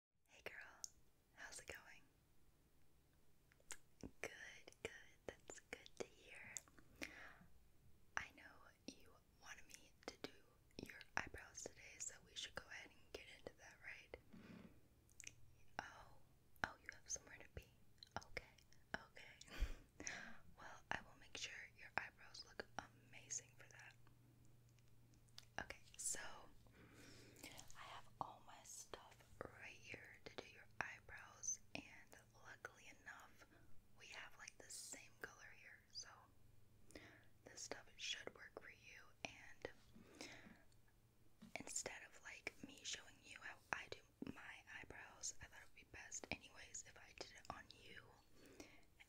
Hey girl, how's it going? Good, good, that's good to hear. I know you wanted me to do your eyebrows today, so we should go ahead and get into that, right? Oh, oh, you have somewhere to be. Okay, okay. well, I will make sure your eyebrows look amazing for that. Okay, so I have all my stuff right here to do your eyebrows, and luckily enough, we have like the same color here, so this stuff should work for you. And instead of like me showing you how I do my eyebrows, I thought it would be best, anyways, if I did it on you,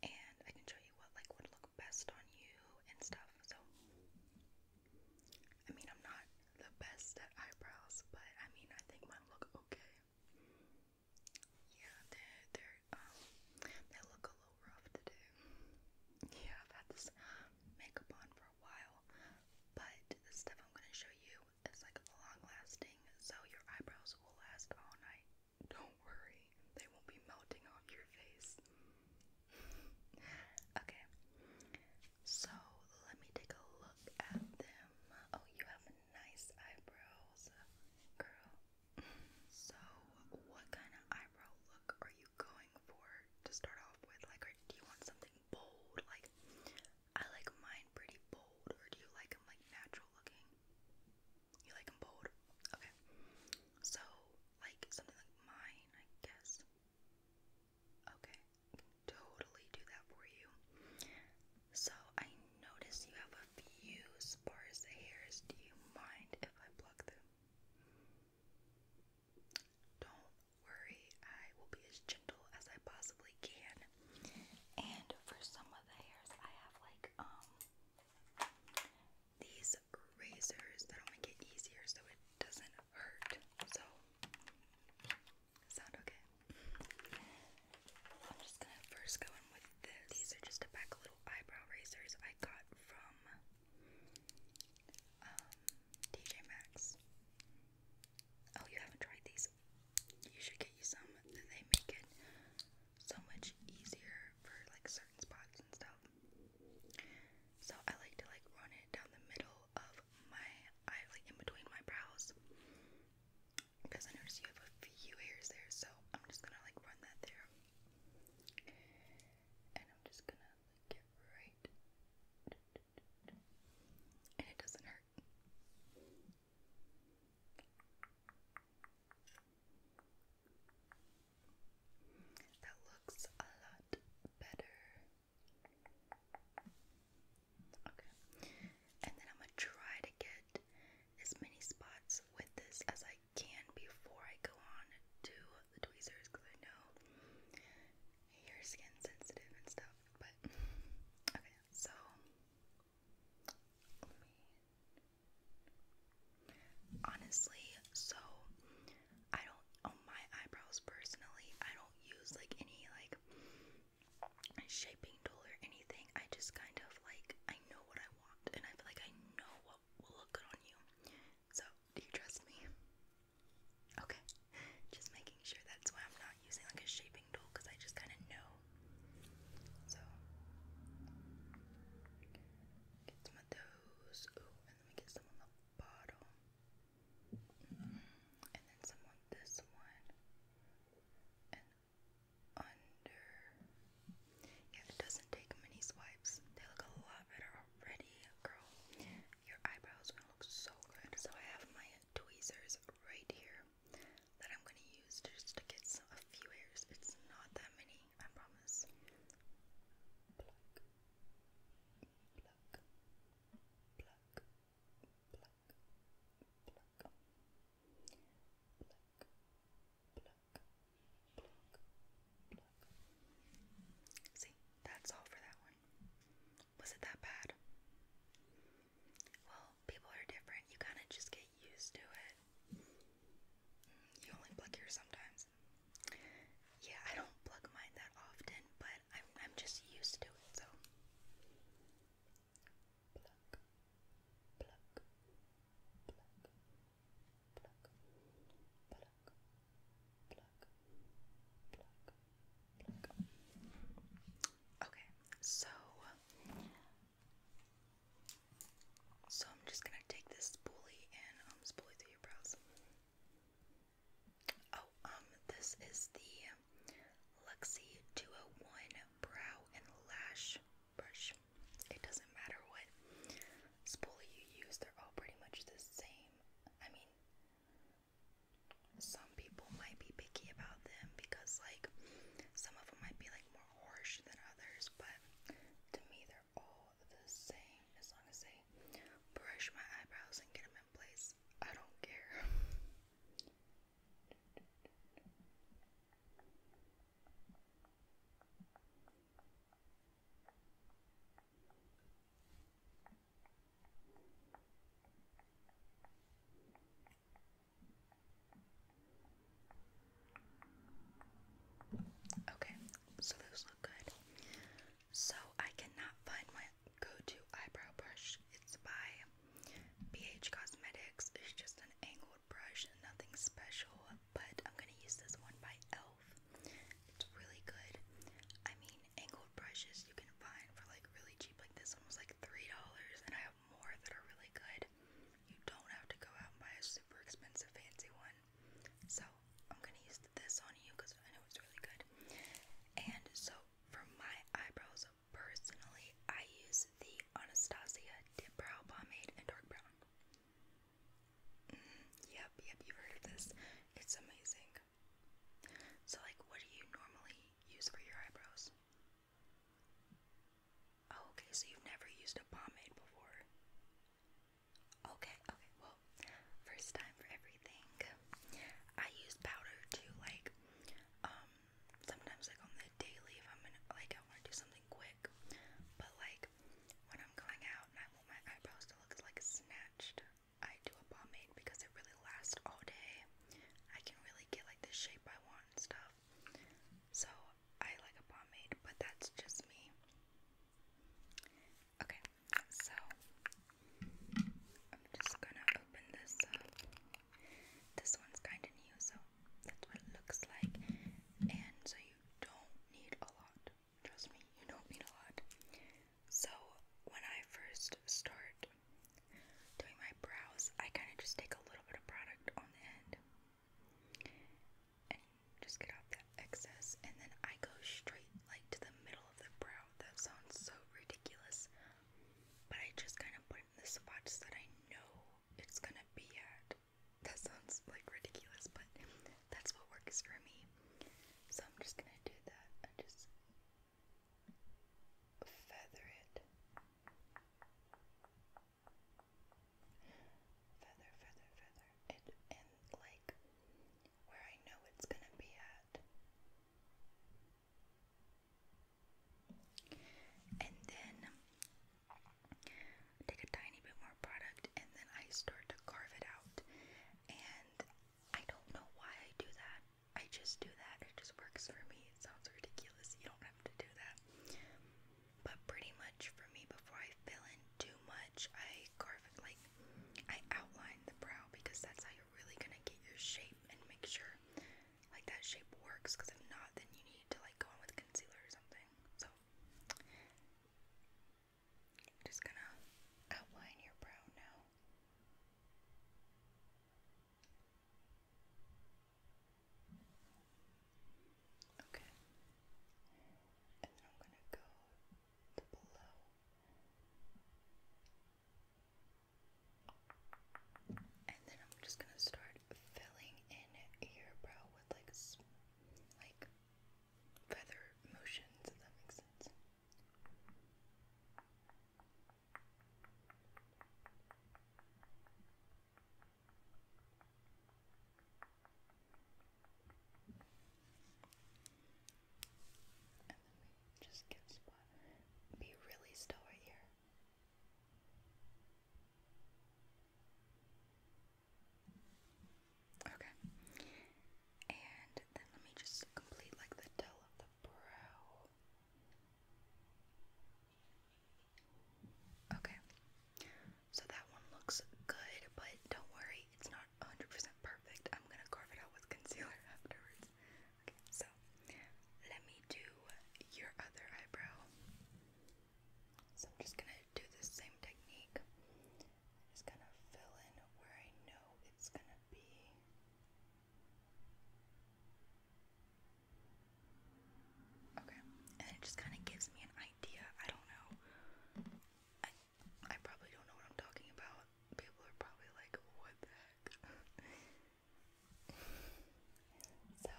and I can show you what like would look best on you and stuff. So, I mean, I'm not the best at eyebrows, but I mean, I think mine look okay. Yeah, they're, they're, um, they look a little rough today. Yeah, I've had this makeup on for a while, but the stuff I'm gonna show you is like long lasting, so your eyebrows will last all night. Don't worry, they won't be melting off your face okay, so let me take a look at them. Oh, you have nice eyebrows, girl. So, what kind of eyebrow look are you going for to start off with? Like, or do you want something bold? Like, I like mine pretty bold, or do you like them like natural looking? You like them bold? Okay. So, like something like mine, I guess. Okay, totally do that for you. So, I notice you have a few sparse hairs. Do you mind if I pluck them? Don't worry, I will be as gentle as I possibly can. And for some of the hairs, I have like, um, these razors that'll make it easier so it doesn't hurt. So, sound okay? I'm just gonna first go in with this. These are just a pack of little eyebrow razors I got from um, TJ Maxx. Oh, you haven't tried these? You should get you some. They make it so much easier for like certain spots and stuff. So I like to like run it down the middle of my eye, like in between my brows. Because I notice you have a few hairs there, so I'm just gonna like run that there. And I'm just gonna get right. And it doesn't hurt. That looks a lot better. Okay. And then I'm going to try to get as many spots with this as I can before I go on to the tweezers I know your skin sensitive and stuff. But okay, so Honestly, so I don't on my eyebrows personally, I don't use like any like shaping tool or anything. I just kind of like I know what I want and I feel like I know what will look good on you. So, do you trust me? Okay. Just making sure that's why I'm not using like a shaping tool because I just kind of know. So, get some of those nose. and then we get some on the bottom. Mm, and then some on this one. And under. Yeah, it doesn't take many swipes. They look a lot better already, girl. Your eyebrows are gonna look so good. So I have my tweezers right here that I'm gonna use just to get some, a few hairs. It's not that many tea, See, that's all for that one. Was it that bad? Well, people are different. You kind of just get used to it. Mm, you only pluck yours sometimes. Yeah, I don't pluck mine that often, but I'm just used to it, so Okay, so so I'm just gonna take this spoolie and um spoolie through your brows. Oh, um, this is the Luxie 201 Brow and Lash Brush. It doesn't matter what spoolie you use, they're all pretty much the same. I mean, some people might be picky about them because, like, some of them might be like more harsh than others, but to me, they're all the same as long as they brush my eyebrows and get them in place. I don't care. Okay, so those look good. So I cannot find my go-to eyebrow brush. It's by BH Cosmetics. It's just an angled brush, nothing special, but I'm gonna use this one by e.l.f. It's really good. I mean, angled brushes you can find for like really cheap, like this one was like $3, and I have more that are really good you don't have to go out and buy a super expensive fancy one. So I'm gonna use this on you because I know it's really good. And so for my eyebrows personally, I use the Anastasia Dip Brow Pomade in Dark Brown. Mm-hmm. yep, yep, you've heard of this. It's amazing. So like what do you normally use for your eyebrows? Oh, okay, so you've never used a pomade before. Okay, okay, well, first time for everything. I use powder to like, um, sometimes like on the daily if I'm in, like I want to do something quick, but like when I'm going out and I want my eyebrows to look like snatched, I do a pomade because it really lasts all day. I can really get like the shape I want and stuff. So I like a pomade, but that's just me. Okay, so I'm just gonna open this up. This one's kind of new, so that's what it looks like. And so you don't need a lot. Trust me, you don't need a lot. So when I first start doing my brows, I kind of just take a little bit of product on the end and just get off that excess and then I go straight like to the middle of the brow. That sounds so ridiculous. But I just kind of put in the spots that I know it's gonna be at. That sounds like ridiculous, but that's what works for me. So I'm just gonna do that and just feather it feather, feather, feather, it, and like where I know it's gonna be at. And then take a tiny bit more product, and then I start to carve it out. And I don't know why I do that. I just do that. It just works for me. It sounds ridiculous. You don't have to do that but pretty much for me before I fill in too much, I carve it like I outline the brow because that's how you're really gonna get your shape and make sure like that shape works. Because if not, then you need to like go in with concealer or something. So I'm just gonna outline your brow now. Okay. And then I'm going to go to below. And then I'm just going to start filling in your brow with like like feather motions if that makes sense. And then we just give spot. Be really still here. Okay. And then let me just complete like the tail of the brow. Okay, so that one looks good, but don't worry, it's not 100% perfect. I'm gonna carve it out with concealer afterwards. Okay, so let me do your other eyebrow. So I'm just gonna do the same technique. Just gonna fill in where I know it's gonna be. Okay, and it just kind of gives me an idea. I don't know. I probably don't know what I'm talking about. People are probably like, "What the heck?" so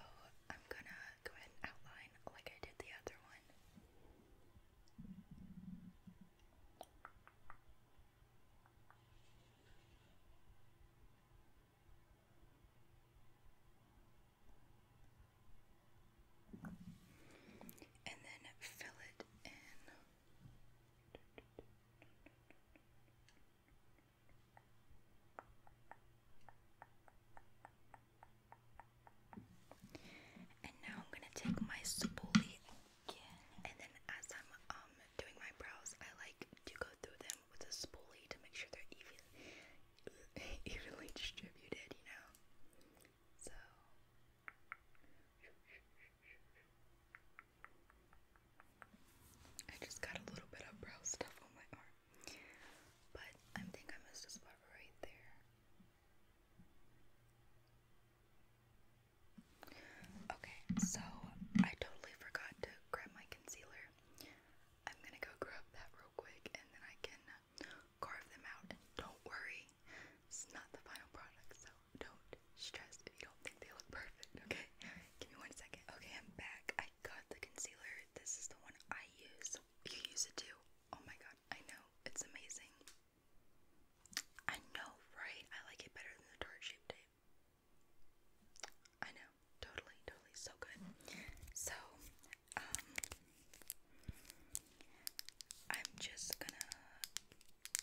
I'm gonna go ahead and outline like I did the other one and then fill it in. And now I'm gonna take my spoolie again, and then as I'm um doing my brows, I like to go through them with a spoolie to make sure they're even evenly distributed, you know. So I just got a little bit of brow stuff on my arm. But I think I missed a spot right there. Okay, so I totally forgot to grab my concealer. I'm gonna go grab that real quick and then I can carve them out. don't worry, it's not the final product, so don't stress if you don't think they look perfect, okay? Give me one second. Okay, I'm back. I got the concealer. This is the one I use. You use it too? Oh my god, I know. It's amazing. I know, right? I like it better than the tart shape tape. I know, totally, totally, so good. So, um, I'm just gonna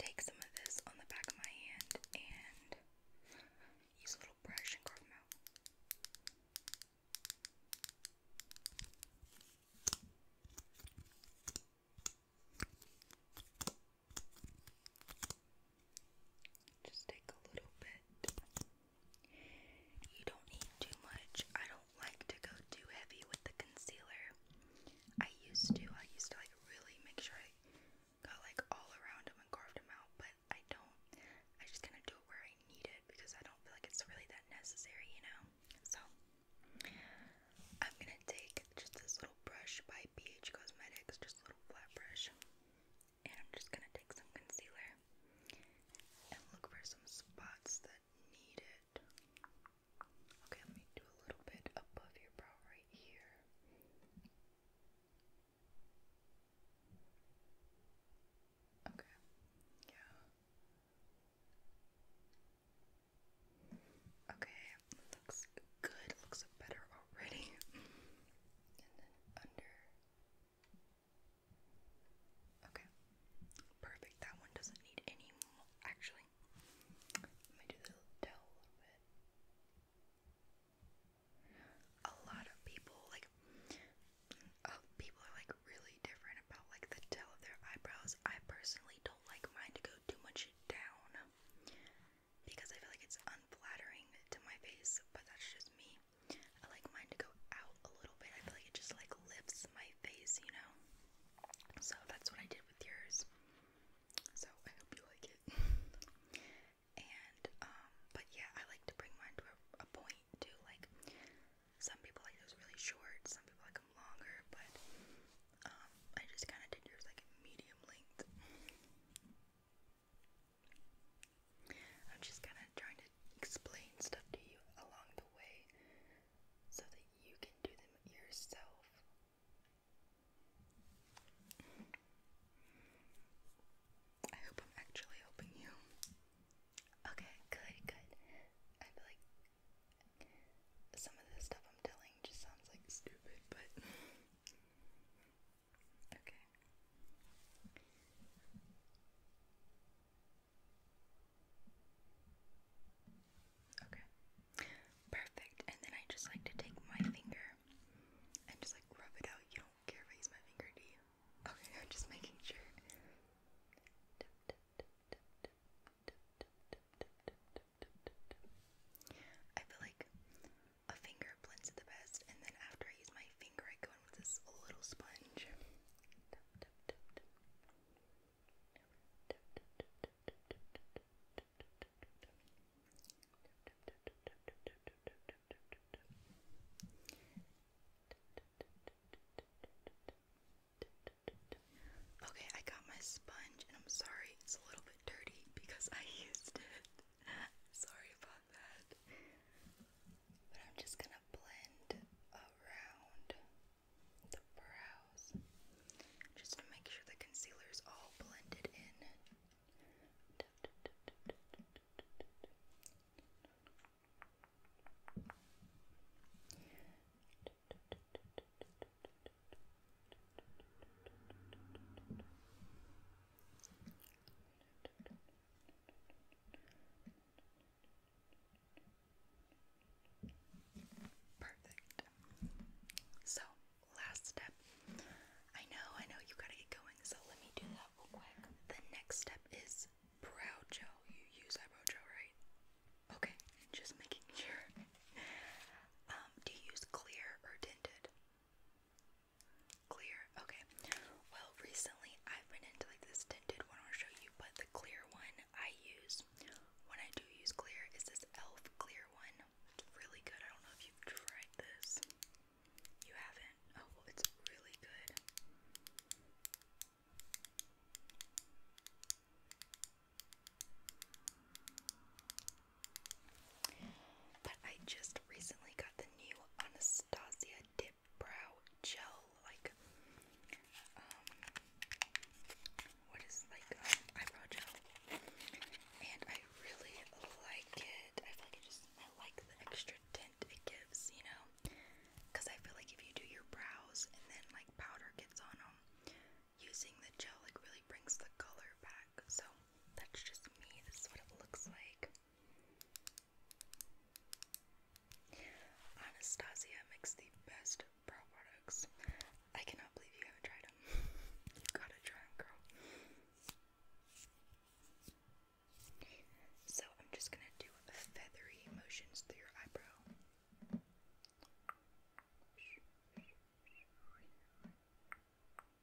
take some of this on the back of my hand and use a little brush and carve out. Just take a little bit. You don't need too much. I don't like to go too heavy with the concealer. I used to. I used to like really make sure I got like all around them and carved them out, but I don't. I just kind of do it where I need it because I don't feel like it's really that necessary, you know? So, I'm gonna take just this little brush by BH Cosmetics, just a little flat brush. And I'm just gonna take some concealer and look for some spots that need it. Okay, let me do a little bit above your brow right here. Okay, yeah. Okay, looks good, looks better already. and then under Okay, perfect. That one doesn't need any Actually, let me do the towel a little A lot of people like, uh, people are like really different about like the tail of their eyebrows. I personally don't like mine to go too much down because I feel like it's unflattering to my face, but that's just me. I like mine to go out a little bit. I feel like it just like lifts my face, you know? So that's what I did with yours. So I hope you like it. and um, but yeah, I like to bring mine to a, point too. Like some people like those really short, some people like them longer, but um, I just kind of did yours like medium length. I'm just kind of trying to explain stuff to you along the way so that you can do them yourself. I hope I'm actually helping you. Okay, good, good. I feel like some of the stuff I'm telling just sounds like stupid, but Okay. Okay. Perfect. And then I just like to take my finger and just like rub it out. You don't care if my finger, do you? Okay, I'm just making sure. I feel like a finger blends it the best, and then after I use my finger, I go in with this little sponge. Okay, I got my sponge and I'm sorry it's a little bit dirty because I used it. sorry about on that. But I'm just gonna blend around the brows just to make sure the concealer is all blended in. Perfect. So, last step. I know, I know you gotta get going, so let me do that real quick. The next step is brow gel. You use eyebrow gel, right? Okay, just making sure. Um, do you use clear or tinted? Clear. Okay. Well, recently I've been into like this tinted one. I'll show you, but the clear one I use when I do use clear is this Elf clear one. really good. I don't know if you've tried this. You haven't. Oh it's really good. But I just recently got the new Anastasia Dip Brow Gel, like, um, what is, like, um, eyebrow gel, and I really like it, I feel like just, I like the extra tint it gives, you know, because I feel like if you do your brows and then, like, powder gets on them, using the gel, like, really brings the color back, so that's just me. This is what it looks like. Anastasia makes the best brow products. I cannot believe you haven't tried them. you gotta try them, girl. So I'm just gonna do feathery motions through your eyebrow. And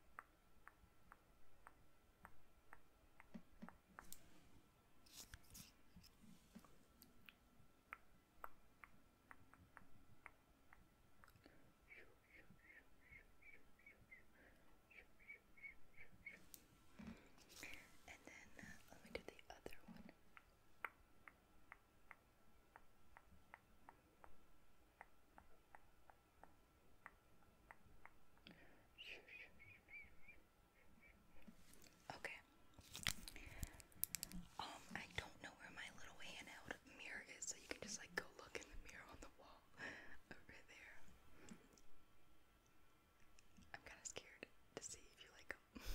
then uh, let me do the other one. Okay. Okay. Um, I don't know where my little handheld mirror is, so you can just like go look in the mirror on the wall over there. I'm kind of scared to see if you like them.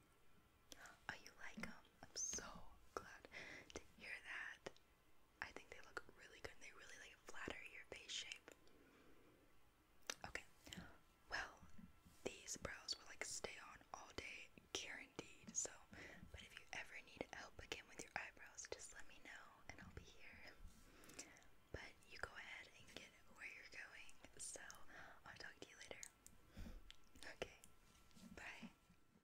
oh, you like them? I'm so glad to hear that. I think they look really good. And they really like flatter your face shape. Okay. Well, these brows will like stay on all day, guaranteed. So, but if you ever need help again with your eyebrows, just let me know and I'll be here. But you go ahead and get where you're going. So, I'll talk to you later. Okay. Bye.